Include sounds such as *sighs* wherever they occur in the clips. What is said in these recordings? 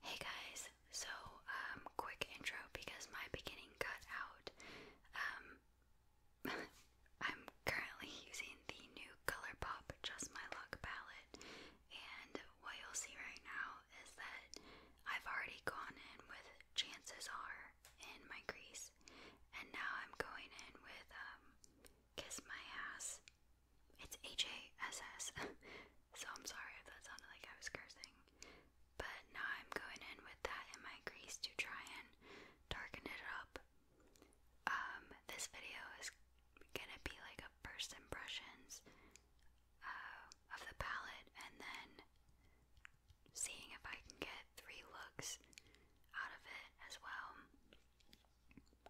Hey guys, so um, quick intro because my beginning cut out. Um, *laughs* I'm currently using the new ColourPop Just My Look palette and what you'll see right now is that I've already gone in with chances are in my crease and now I'm going in with um, kiss my ass it's H-A-S-S, *laughs* so I'm sorry if that sounded like I was cursing. But now I'm going in with that in my grease to try and darken it up. Um, this video is gonna be like a first impressions uh, of the palette and then seeing if I can get three looks out of it as well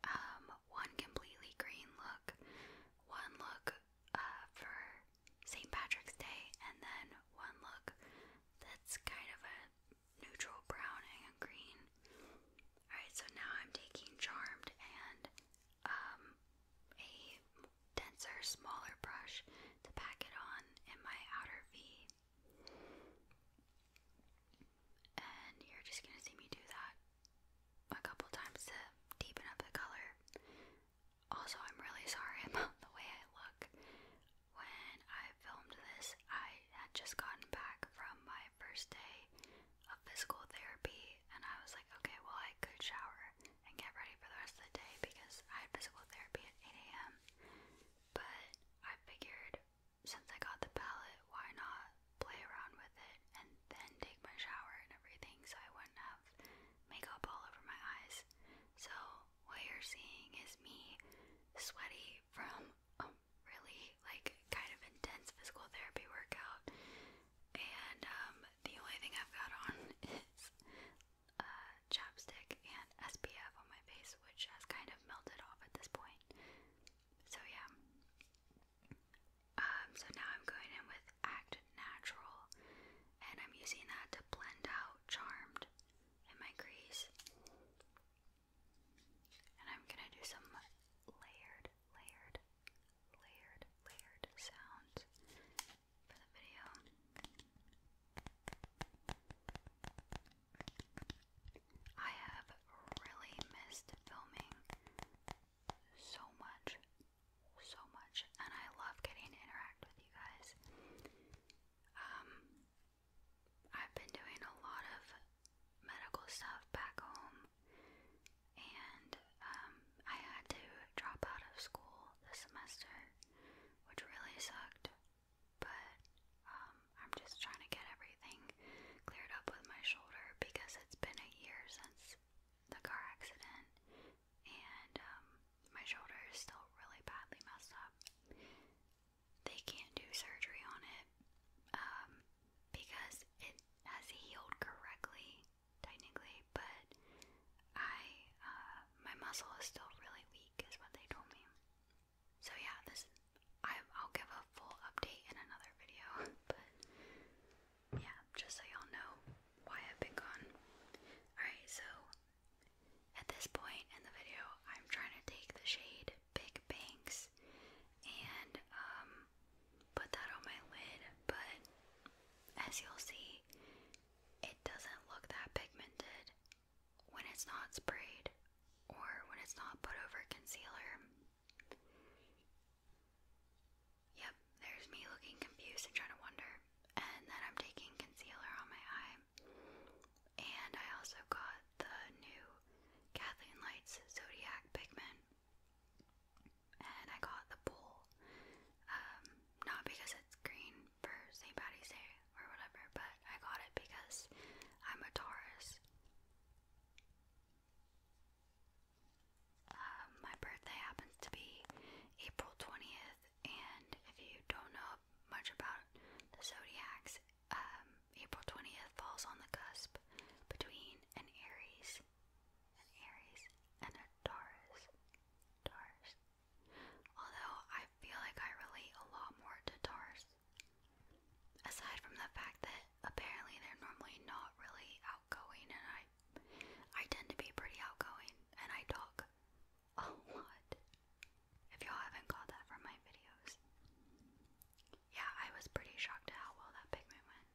um, one completely green look, one look uh, for St. Patrick's Day, and then one look that's kind of a neutral brown and green. Alright, so now I'm taking Charmed and um, a denser, smaller brush to pack it on in my outer V and you're just gonna see me do that a couple times to deepen up the color. Also, I'm really sorry *laughs* about the way I look. When I filmed this, I had just gotten back from my first day of physical therapy, and I was like, okay, well, I could shower and get ready for the rest of the day because I had physical therapy at 8 a.m. But I figured since I got the palette, why not play around with it, and then take my shower and everything so I wouldn't have makeup all over my eyes. So, what you're seeing is me sweaty from a really, like, kind of intense physical therapy workout. And um, the only thing I've got on is a chapstick and SPF on my face, which has kind of melted off at this point. So, yeah. Um, so now I'm going in with Act Natural, and I'm using that to blend out Charmed in my crease. And I'm gonna do some layered, layered, layered, layered sounds for the video. I have really missed filming so much, so much, and I love getting interact with you guys. Um, I've been doing a lot of medical stuff back home, and um, I had to drop out of school this semester, which really sucked. But um, I'm just trying to get everything everything cleared up with my shoulder because it's been a year since the car accident, and um, my shoulder is still really badly messed up. They can't do surgery on it um, because it has healed correctly, technically, but I, uh, my muscle is still really weak, is what they told me. So yeah, this i will give a full update in another video, *laughs* but yeah, just so y'all know why I've been gone. Alright, so at this point in the video, I'm trying to take the shade Big Banks and um, put that on my lid, but as you'll see, it doesn't look that pigmented when it's not sprayed or when it's not put over concealer. Yep, there's me looking confused and trying to wonder. And then I'm taking concealer on my eye. And I also got the new Kathleen Lights Zodiac Pigment. And I got the pool, Um, not because it's green for St. Patty's Day or whatever, but I got it because I'm a Taurus. Um, my birthday happens to be April 20th, and if you don't know much about the zodiacs, um, April 20th falls on the cusp between Aries, an Aries, and a Taurus. Taurus. Although I feel like I relate a lot more to Taurus Aside from the fact that apparently they're normally not really outgoing, and I, I tend to be pretty outgoing, and I talk a lot. If y'all haven't caught that from my videos, yeah, I was pretty shocked at how well that pigment went.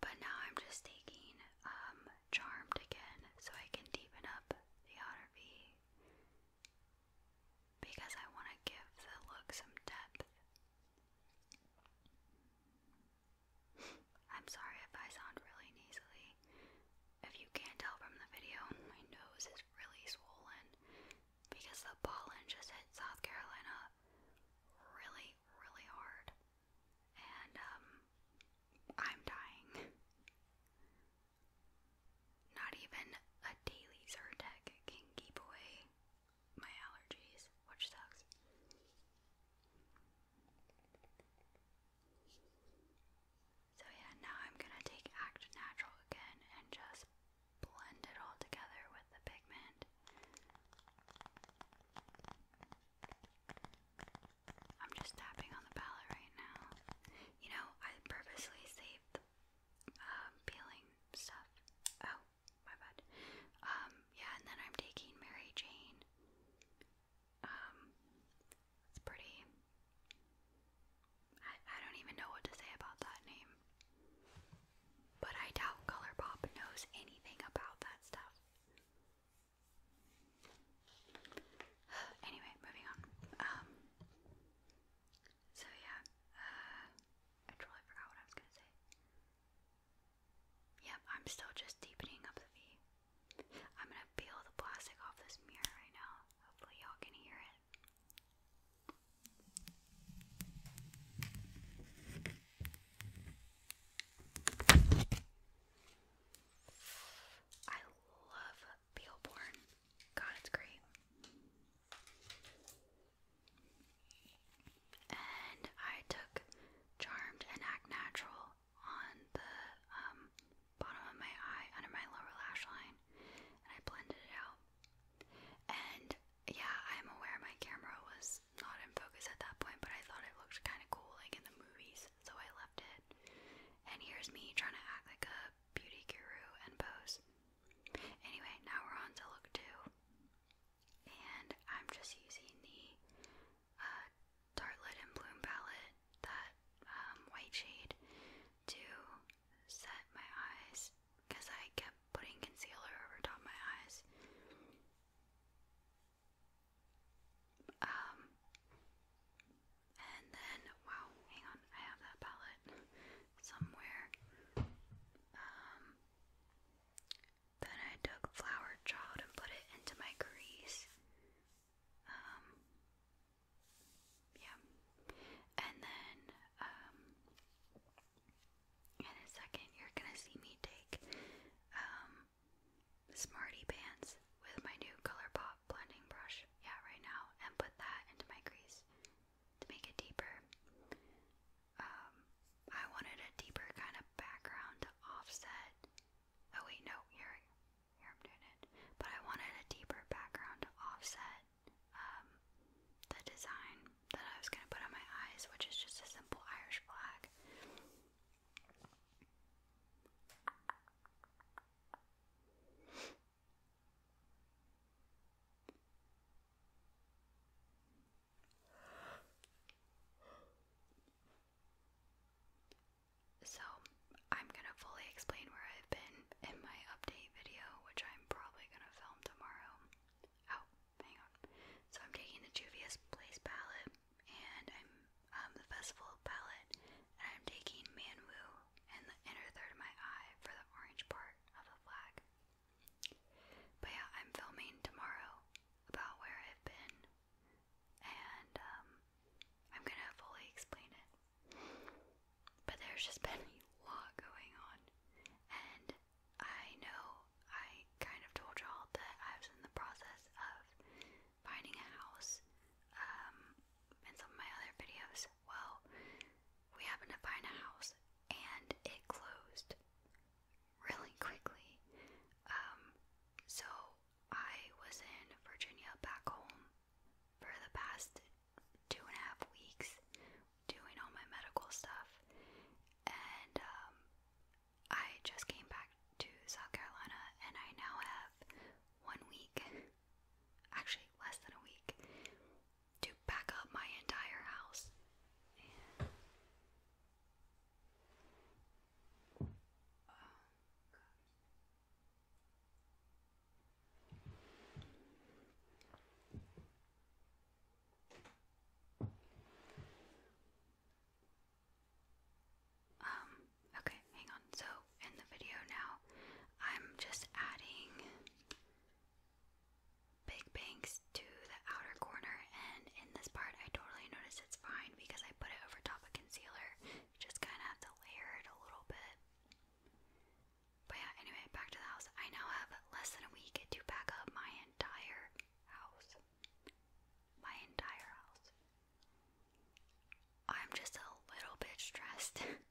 But now I'm just taking um charmed again, so I can deepen up the outer V because I want to give the look some depth. I'm sorry if I sound really nasally. If you can't tell from the video, my nose is really swollen because the pollen just hit South Carolina really, really hard. And, um, I'm dying. Not even a daily Zyrtec can keep my allergies, which sucks. So yeah, now I'm gonna take Act Natural again and just blend it all together with the pigment. I'm just tapping on the palette right now. You know, I purposely saved um, peeling stuff. Oh, my bad. Um, yeah, and then I'm taking Mary Jane. Um, it's pretty. I, I don't even know what to say about that name. But I doubt Colourpop knows anything about that stuff. *sighs* anyway, moving on. Um, so yeah, uh, I totally forgot what I was gonna say. Yep, I'm still just deepening up the V. I'm gonna peel the plastic off this mirror right now. Hopefully, y'all can hear it. I love peel God, it's great and I took Charmed and Act Natural on the um, bottom of my eye under my lower lash line, and I blended it out. And yeah, I'm aware my camera was not in focus at that point, but I thought it looked kind of cool, like in the movies, so I left it. And here's me trying to act like a beauty guru and pose. Anyway, now we're on to look two. And I'm just using the uh, Dartlet and Bloom palette, that um, white shade, to set my eyes because I kept putting concealer over top my eyes. Um, and then, wow, hang on, I have that palette somewhere. Um, then I took flower child and put it into my crease. Um, yeah. And then, um, in a second, you're gonna see me take, Smarty Pants with my new ColourPop blending brush, yeah, right now, and put that into my crease to make it deeper. Um, I wanted a deeper kind of background to offset. Oh wait, no, here, here I'm doing it. But I wanted a deeper background to offset um, the design that I was gonna put on my eyes, which is just a simple Irish flag. So, I'm gonna fully explain where I've been in my update video, which I'm probably gonna film tomorrow. Oh, hang on. So, I'm taking the Juvia's Place palette, and I'm um, the Festival palette, and I'm taking Manwu and the inner third of my eye for the orange part of the flag. But yeah, I'm filming tomorrow about where I've been, and um, I'm gonna fully explain it. But there's just *laughs* been a lot going on, and I know I kind of told y'all that I was in the process of finding a house um, in some of my other videos. Well, we happened to find a house and it closed really quickly. Um, so I was in Virginia back home for the past two and a half weeks doing all my medical stuff, and um, I just came back to South Carolina and I now have one week *laughs* actually less than a week to pack up my entire house. um, okay, hang on. So, in the video now, I'm just adding big bangs to the outer corner, and in this part, I totally notice it's fine because I put it over top of concealer. just kind of have to layer it a little bit. But yeah, anyway, back to the house. I now have less than a week to pack up my entire house. My entire house. I'm just a little bit stressed. *laughs*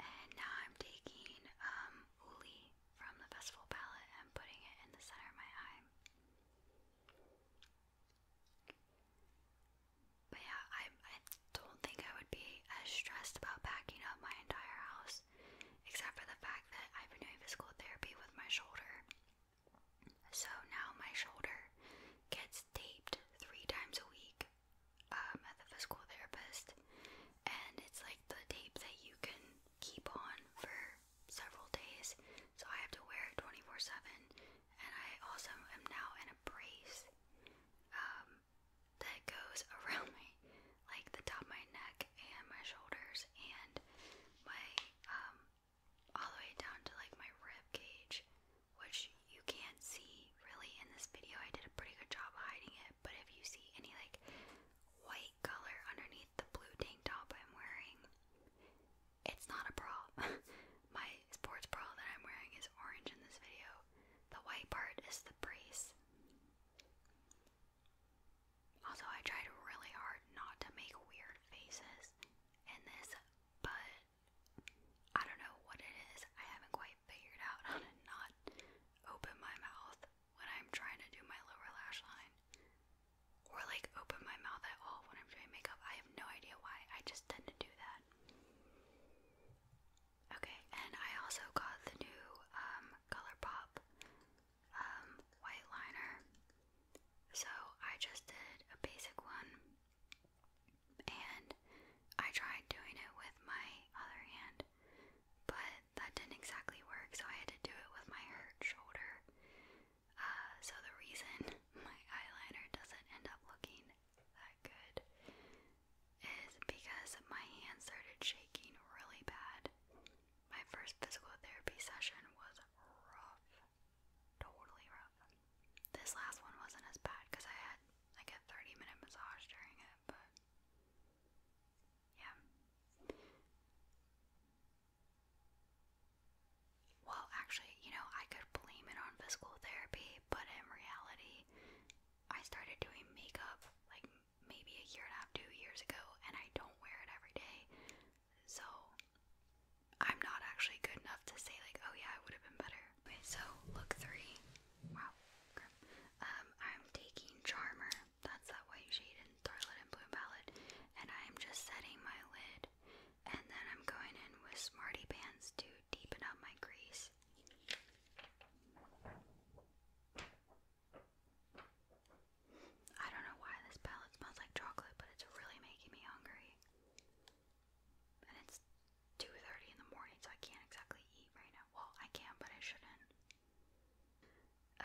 And now I'm taking um, Uli from the Festival palette and putting it in the center of my eye. But yeah, I, I don't think I would be as stressed about backing up my entire house, except for the fact that I've been doing physical therapy with my shoulder. So now my shoulder gets taped three times a week um, at physical therapist, and it's like the tape that you can keep on for several days. So I have to wear it 24 7, and I also am now in a brace um, that goes *laughs* around my like the top of my neck and my shoulders and my um, all the way down to like my rib cage, which you can't see really in this video. I did a pretty good job hiding it, but if you see any like white color underneath the blue tank top I'm wearing, it's not a bra. *laughs* my sports bra that I'm wearing is orange in this video. The white part is the brace. Also, I tried really hard not to make weird faces in this, but I don't know what it is. I haven't quite figured out how to not open my mouth when I'm trying to do my lower lash line. Or like open my mouth at all when I'm doing makeup. I have no idea why. I just tend to do that. Okay, and I also got the new um, ColourPop um, white liner. So I just did a basic one and I tried doing it with my other hand, but that didn't exactly work, so I had to do it with my hurt shoulder. Uh, so the reason *laughs* my eyeliner doesn't end up looking that good is because my hand started shaking really bad. My first physical therapy session was rough. Totally rough. This last one wasn't as bad because I had like a 30 minute massage during it, but yeah. Well, actually, you know, I could blame it on physical therapy, but in reality, I started doing makeup like maybe a year and a half, two years ago, and I don't wear it every day. So I'm not actually good enough to say like, oh yeah, I would have been better. Okay, so look three. Wow, Um, I'm taking Charmer. That's that white shade in Scarlet and Blue palette, and I'm just setting my lid, and then I'm going in with Smarty Pants to deepen up my crease. I don't know why this palette smells like chocolate, but it's really making me hungry and it's 2.30 in the morning, so I can't exactly eat right now. Well, I can, but I shouldn't.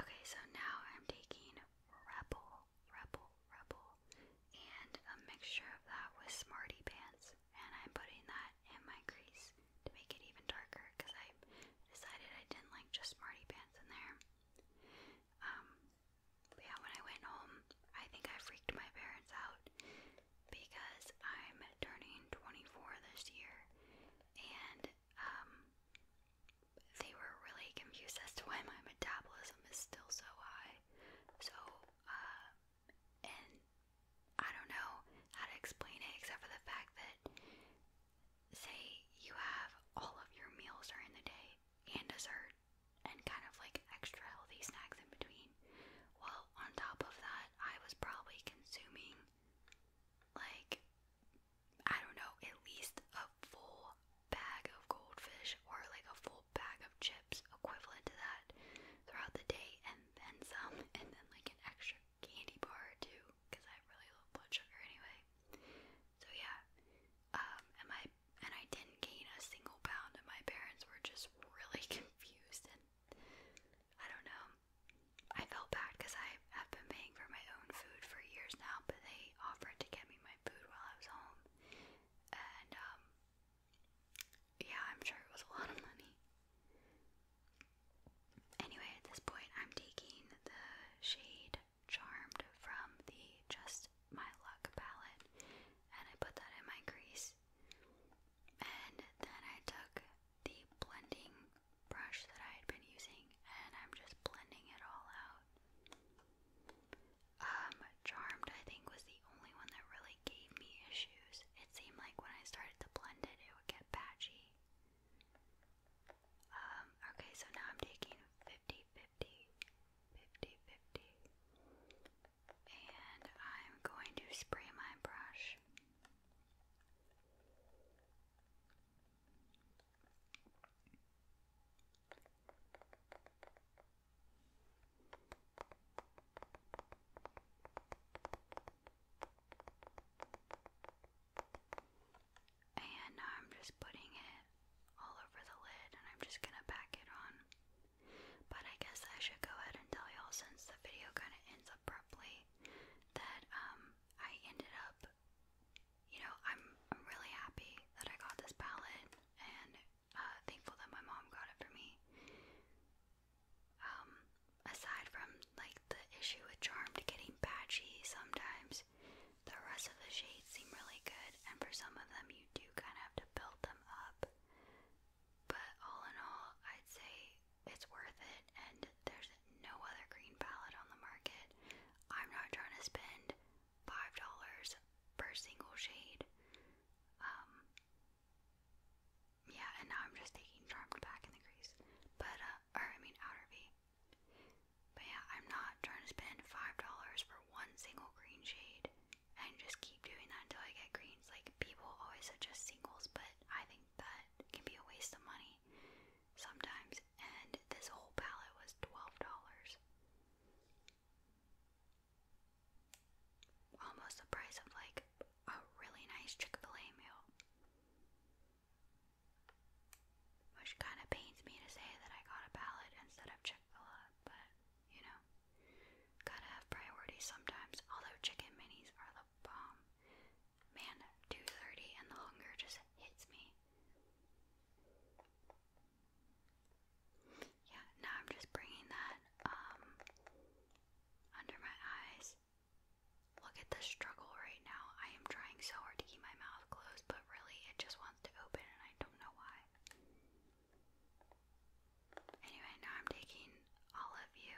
Okay, so now I'm taking Rebel, Rebel, Rebel, and a mixture of that with Smarty Pants, and I'm putting that in my crease to make it even darker, because I decided I didn't like just Smarty Pants in there. Um, yeah, when I went home, I think I freaked my parents out because I'm turning 24 this year, and um, they were really confused as to why my metabolism is still so high. So, uh, and I don't know how to explain it except for the fact that, say, you have all of your meals during the day and dessert, and kind of like extra healthy snacks in between. Well, on top of that, I was probably consuming like I don't know, at least a full bag of goldfish or like a full bag of chips equivalent to that throughout the day and then some *laughs* and then like an extra candy bar too because I really love blood sugar anyway. So yeah. Um and and I didn't gain a single pound, and my parents were just really *laughs* confused. And I don't know, I felt bad because I have been paying for my own food for years now, but they offered to get me my food while I was home, and um, yeah, I'm sure it was a lot of money. Anyway, at this point, I'm taking the shade Charmed from the Just my Luck palette, and I put that in my crease. And then I took the blending brush that I had been using, and I'm just blending it all out. Um, Charmed, I think, was the only one that really gave me issues. It seemed like when I started to blend it, it would get patchy. Um, okay, so now I'm taking 50 50, And I'm going to spray my brush. And I'm just putting it all over the lid and I'm just gonna pack it on. But I guess I should go ahead and tell y'all since the video kind of ends abruptly that um I ended up you know I'm really happy that I got this palette and uh, thankful that my mom got it for me. Um, aside from like the issue with Charmed getting patchy sometimes, the rest of the shades seem really good, and for some of them, you do kind of have to build them up. But all in all, I'd say it's worth it, and there's no other green palette on the market. I'm not trying to spend $5 per single shade. Um, yeah, and now I'm just taking Charmed back in the crease. But, uh, or I mean Outer V. But yeah, I'm not trying to spend $5 for one single green shade and just keep doing that until I get greens. Like, people always suggest singles, but I think that can be a waste of money sometimes. And this whole palette was $12. Almost the price of like a really nice Chick fil A meal. Which kind of pains me to say that I got a palette instead of chips a lot, but you know, gotta have priorities sometimes. Although chicken minis are the bomb. Man, 2:30 and the hunger just hits me. Yeah, now I'm just bringing that um, under my eyes. Look at the struggle right now. I am trying so hard to keep my mouth closed, but really it just wants to open and I don't know why. Anyway, now I'm taking all of you.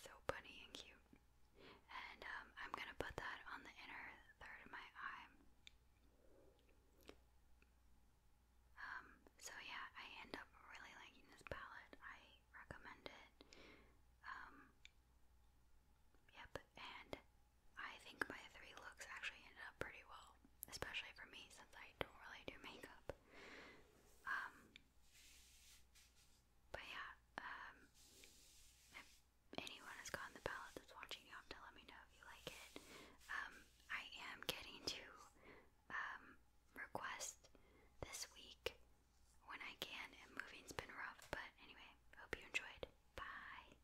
So funny and cute. And um, I'm gonna put that on the inner third of my eye. Um, so yeah, I end up really liking this palette. I recommend it. Um, yep, and I think my three looks actually ended up pretty well, especially for me since I don't really do makeup. Um, but yeah, um, if anyone has gotten the palette that's watching, you have to let me know if you like it. Um, I am getting to request this week when I can, moving's been rough, but anyway, hope you enjoyed. Bye!